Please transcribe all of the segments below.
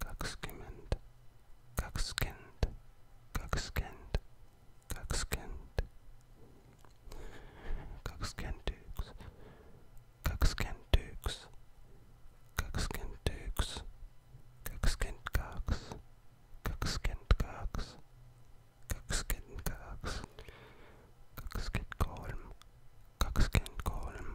Kakskind, Kakskind, Kakskind, Kakskind, Kakskindukes, Kakskindukes, Kakskindukes, Kakskindkaks, Kakskindkaks, Kakskindkaks, Kakskindkolm, Kakskindkolm,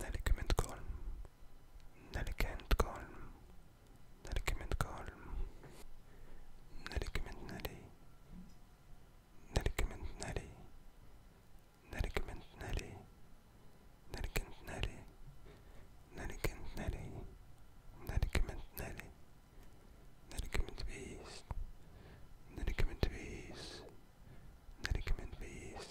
Nelligemend kolm, nelikümmend kolm, nelikümmend kolm, nelikümmend neli, nelikümmend neli, nelikümmend neli, nelikümmend neli, nelikümmend neli, nelikümmend neli, nelikümmend viis, nelikümmend viis, nelikümmend viis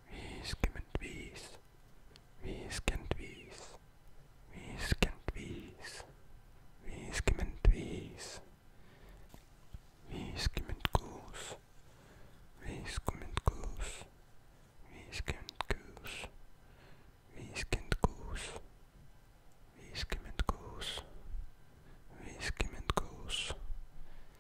Wie skimmed bees. Wie skimmed bees. Wie skimmed bees. Wie skimmed bees. Wie skimmed goose. Wie skimmed goose. Wie skimmed goose. Wie skimmed goose. Wie skimmed goose. Wie skimmed goose.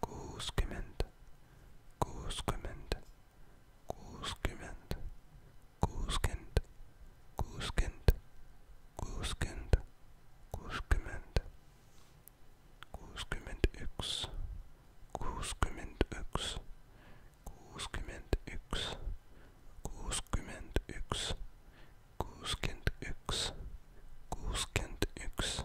Gooskement, Gooskement, Gooskement, Gooskent, Gooskent, Gooskent, Gooskement, Gooskement X, Gooskement X, Gooskement X, Gooskement X, Gooskent X, Gooskent X,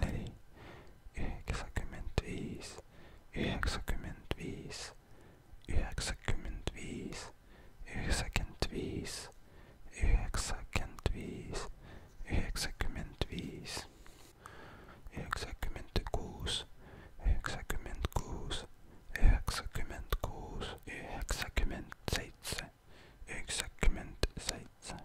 neljä, yhdeksänkymmentäviisi, yhdeksänkymmentäviisi, yhdeksänkymmentäviisi, yhdeksänkymmentäviisi, yhdeksänkymmentäviisi, yhdeksänkymmentäviisi, yhdeksänkymmentäkuusi, yhdeksänkymmentäkuusi, yhdeksänkymmentäkuusi, yhdeksänkymmentäseitsemän, yhdeksänkymmentäseitsemän,